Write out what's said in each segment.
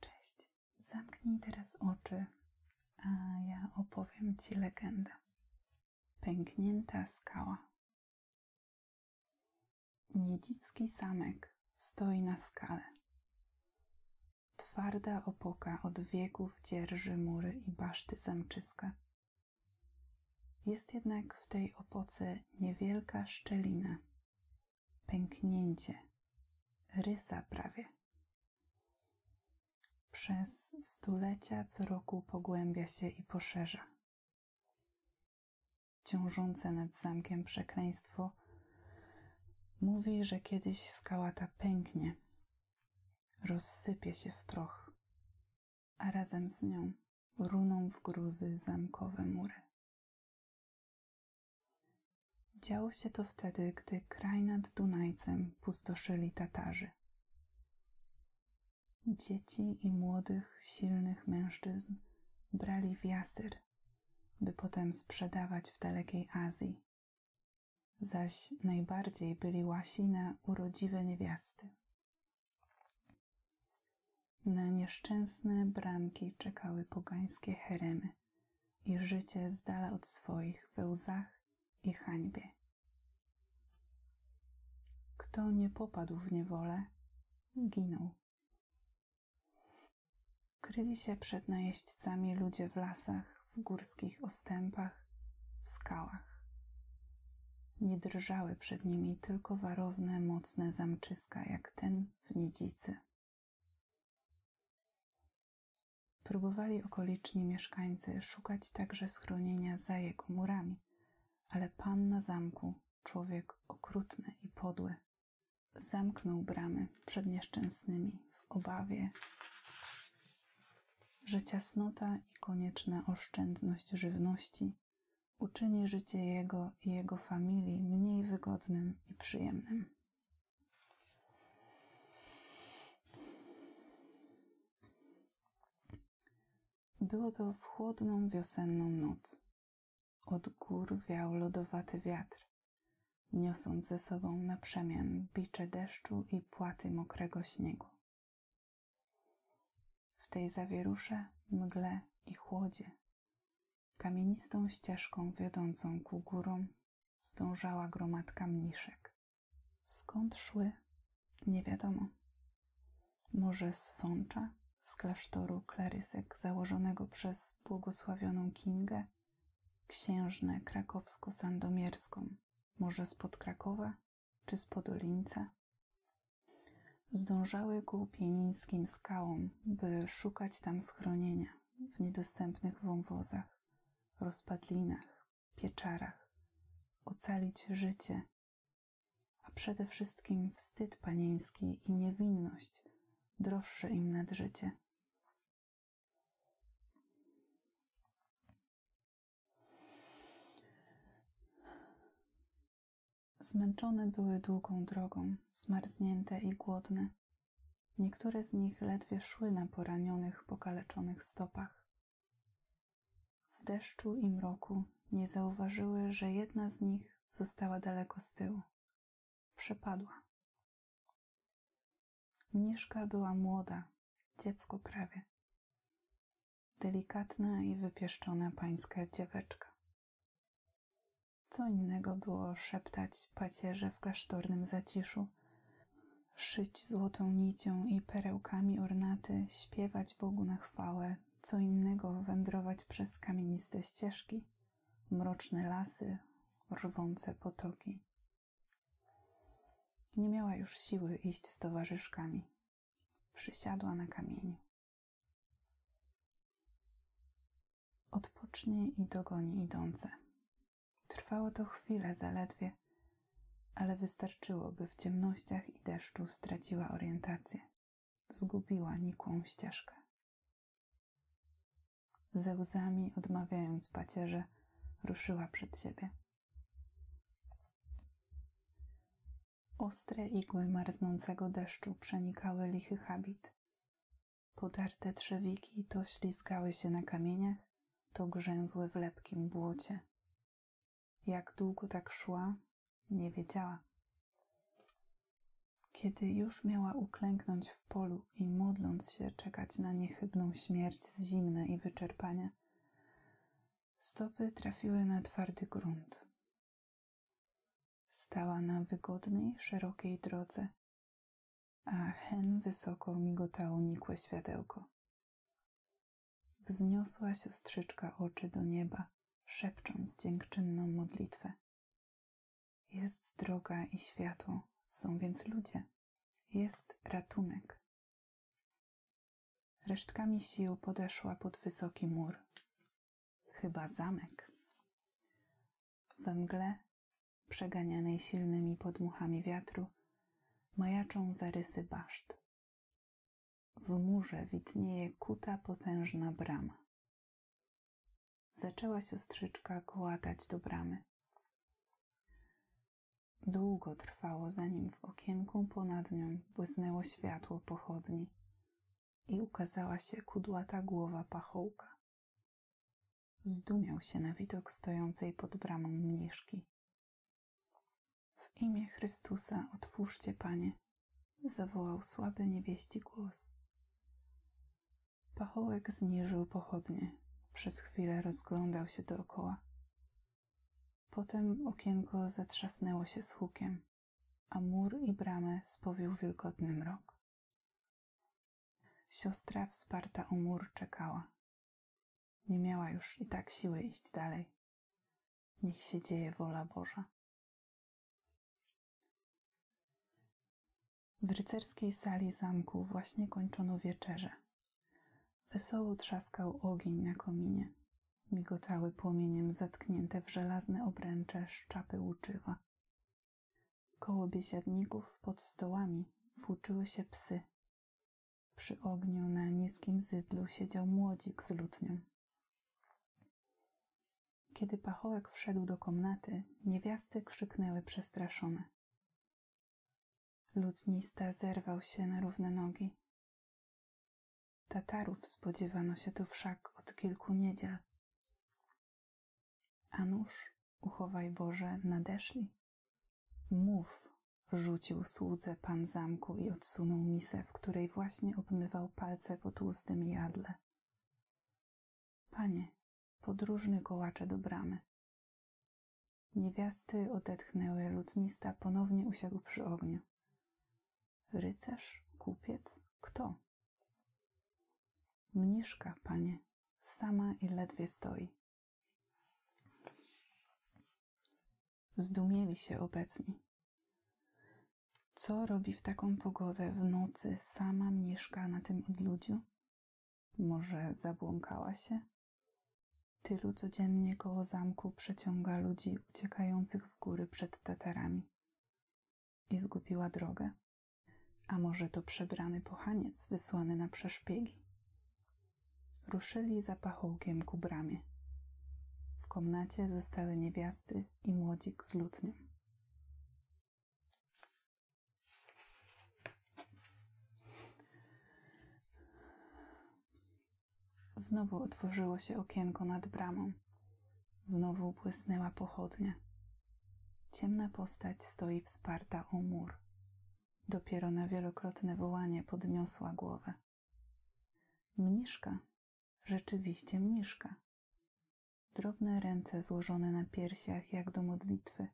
Cześć. Zamknij teraz oczy, a ja opowiem Ci legendę. Pęknięta skała. Niedzicki samek stoi na skale. Twarda opoka od wieków dzierży mury i baszty zamczyska. Jest jednak w tej opoce niewielka szczelina, pęknięcie, rysa prawie. Przez stulecia co roku pogłębia się i poszerza. Ciążące nad zamkiem przekleństwo mówi, że kiedyś skała ta pęknie, rozsypie się w proch, a razem z nią runą w gruzy zamkowe mury. Działo się to wtedy, gdy kraj nad Dunajcem pustoszyli Tatarzy. Dzieci i młodych, silnych mężczyzn brali w jasyr, by potem sprzedawać w dalekiej Azji. Zaś najbardziej byli łasi na urodziwe niewiasty. Na nieszczęsne bramki czekały pogańskie heremy i życie zdala od swoich we łzach i hańbie. Kto nie popadł w niewolę, ginął. Kryli się przed najeźdźcami ludzie w lasach, w górskich ostępach, w skałach. Nie drżały przed nimi tylko warowne, mocne zamczyska, jak ten w niedzicy. Próbowali okoliczni mieszkańcy szukać także schronienia za jego murami, ale pan na zamku, człowiek okrutny i podły, zamknął bramy przed nieszczęsnymi w obawie, że ciasnota i konieczna oszczędność żywności uczyni życie jego jego i jego familii mniej wygodnym i przyjemnym. Było to w chłodną wiosenną noc. Od gór wiał lodowaty wiatr, niosąc ze sobą na przemian bicze deszczu i płaty mokrego śniegu. W tej zawierusze, mgle i chłodzie Kamienistą ścieżką wiodącą ku górom zdążała gromadka mniszek. Skąd szły? Nie wiadomo. Może z Sącza, z klasztoru klerysek założonego przez błogosławioną Kingę, księżnę krakowsko-sandomierską, może z pod Krakowa czy z pod Podolińca? zdążały ku pienińskim skałom, by szukać tam schronienia w niedostępnych wąwozach, rozpadlinach, pieczarach, ocalić życie, a przede wszystkim wstyd panieński i niewinność droższe im nad Zmęczone były długą drogą, zmarznięte i głodne. Niektóre z nich ledwie szły na poranionych, pokaleczonych stopach. W deszczu i mroku nie zauważyły, że jedna z nich została daleko z tyłu. Przepadła. Mniszka była młoda, dziecko prawie. Delikatna i wypieszczona pańska dzieweczka. Co innego było szeptać pacierze w klasztornym zaciszu, szyć złotą nicią i perełkami ornaty, śpiewać Bogu na chwałę, co innego wędrować przez kamieniste ścieżki, mroczne lasy, rwące potoki. Nie miała już siły iść z towarzyszkami. Przysiadła na kamieniu, Odpocznij i dogoni idące. Trwało to chwilę zaledwie, ale wystarczyło, by w ciemnościach i deszczu straciła orientację. Zgubiła nikłą ścieżkę. Ze łzami, odmawiając pacierze, ruszyła przed siebie. Ostre igły marznącego deszczu przenikały lichy habit. Podarte trzewiki to ślizgały się na kamieniach, to grzęzły w lepkim błocie. Jak długo tak szła, nie wiedziała. Kiedy już miała uklęknąć w polu i modląc się czekać na niechybną śmierć z zimna i wyczerpania, stopy trafiły na twardy grunt, Stała na wygodnej, szerokiej drodze, a hen wysoko migotało nikłe światełko. Wzniosła siostrzyczka oczy do nieba, szepcząc dziękczynną modlitwę. Jest droga i światło, są więc ludzie. Jest ratunek. Resztkami sił podeszła pod wysoki mur. Chyba zamek. We mgle, przeganianej silnymi podmuchami wiatru, majaczą zarysy baszt. W murze widnieje kuta potężna brama. Zaczęła siostrzyczka kołatać do bramy. Długo trwało, zanim w okienku ponad nią błysnęło światło pochodni, i ukazała się kudłata głowa pachołka. Zdumiał się na widok stojącej pod bramą mniszki. W imię Chrystusa otwórzcie, Panie, zawołał słaby niewieści głos. Pachołek zniżył pochodnie, przez chwilę rozglądał się dookoła. Potem okienko zatrzasnęło się z hukiem a mur i bramę spowił wilgotny mrok. Siostra wsparta o mur czekała. Nie miała już i tak siły iść dalej. Niech się dzieje wola Boża. W rycerskiej sali zamku właśnie kończono wieczerze. Wesoło trzaskał ogień na kominie. Migotały płomieniem zatknięte w żelazne obręcze szczapy uczyła. Koło biesiadników pod stołami włóczyły się psy. Przy ogniu na niskim zydlu siedział młodzik z lutnią. Kiedy pachołek wszedł do komnaty, niewiasty krzyknęły przestraszone. Lutnista zerwał się na równe nogi. Tatarów spodziewano się tu wszak od kilku niedziel. A nuż, uchowaj Boże, nadeszli? Mów, rzucił słudze pan zamku i odsunął misę, w której właśnie obmywał palce po tłustym jadle. Panie, podróżny kołacze do bramy. Niewiasty odetchnęły, lutnista ponownie usiadł przy ogniu. Rycerz? Kupiec? Kto? Mniszka, panie, sama i ledwie stoi. Zdumieli się obecni. Co robi w taką pogodę w nocy sama mniszka na tym odludziu? Może zabłąkała się? Tylu codziennie koło zamku przeciąga ludzi uciekających w góry przed Tatarami i zgubiła drogę. A może to przebrany pochaniec wysłany na przeszpiegi? Ruszyli za pachołkiem ku bramie. W komnacie zostały niewiasty i młodzik z lutnią. Znowu otworzyło się okienko nad bramą. Znowu błysnęła pochodnia. Ciemna postać stoi wsparta o mur. Dopiero na wielokrotne wołanie podniosła głowę. Mniszka, rzeczywiście mniszka. Drobne ręce złożone na piersiach jak do modlitwy.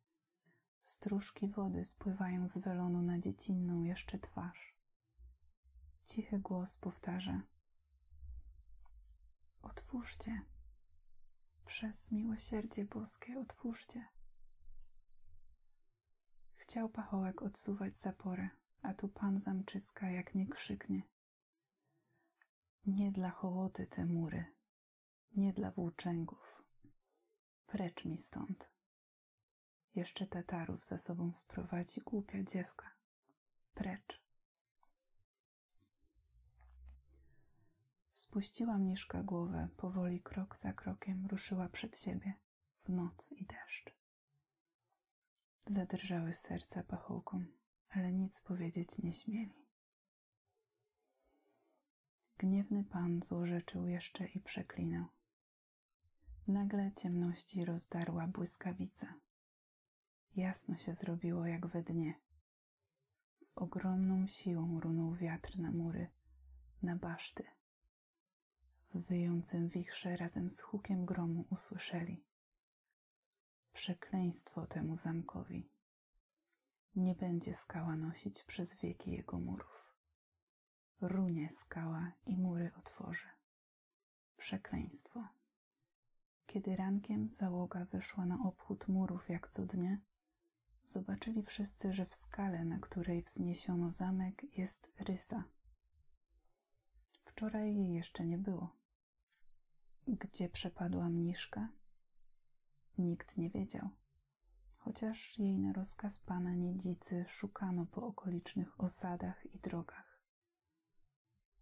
Stróżki wody spływają z welonu na dziecinną jeszcze twarz. Cichy głos powtarza: Otwórzcie. Przez miłosierdzie boskie otwórzcie. Chciał pachołek odsuwać zaporę, a tu pan zamczyska, jak nie krzyknie. Nie dla hołody te mury, nie dla włóczęgów. Precz mi stąd. Jeszcze Tatarów za sobą sprowadzi głupia dziewka precz. Spuściła mniszka głowę, powoli krok za krokiem ruszyła przed siebie w noc i deszcz. Zadrżały serca pachołkom, ale nic powiedzieć nie śmieli. Gniewny pan złorzeczył jeszcze i przeklinał. Nagle ciemności rozdarła błyskawica, Jasno się zrobiło jak we dnie. Z ogromną siłą runął wiatr na mury, na baszty. W wyjącym wichrze razem z hukiem gromu usłyszeli. Przekleństwo temu zamkowi. Nie będzie skała nosić przez wieki jego murów. Runie skała i mury otworzy. Przekleństwo. Kiedy rankiem załoga wyszła na obchód murów jak co dnie, zobaczyli wszyscy, że w skale, na której wzniesiono zamek, jest rysa. Wczoraj jej jeszcze nie było. Gdzie przepadła mniszka? Nikt nie wiedział, chociaż jej na rozkaz pana niedzicy szukano po okolicznych osadach i drogach.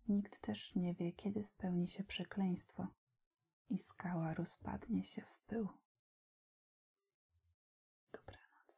Nikt też nie wie, kiedy spełni się przekleństwo i skała rozpadnie się w pył. Dobranoc.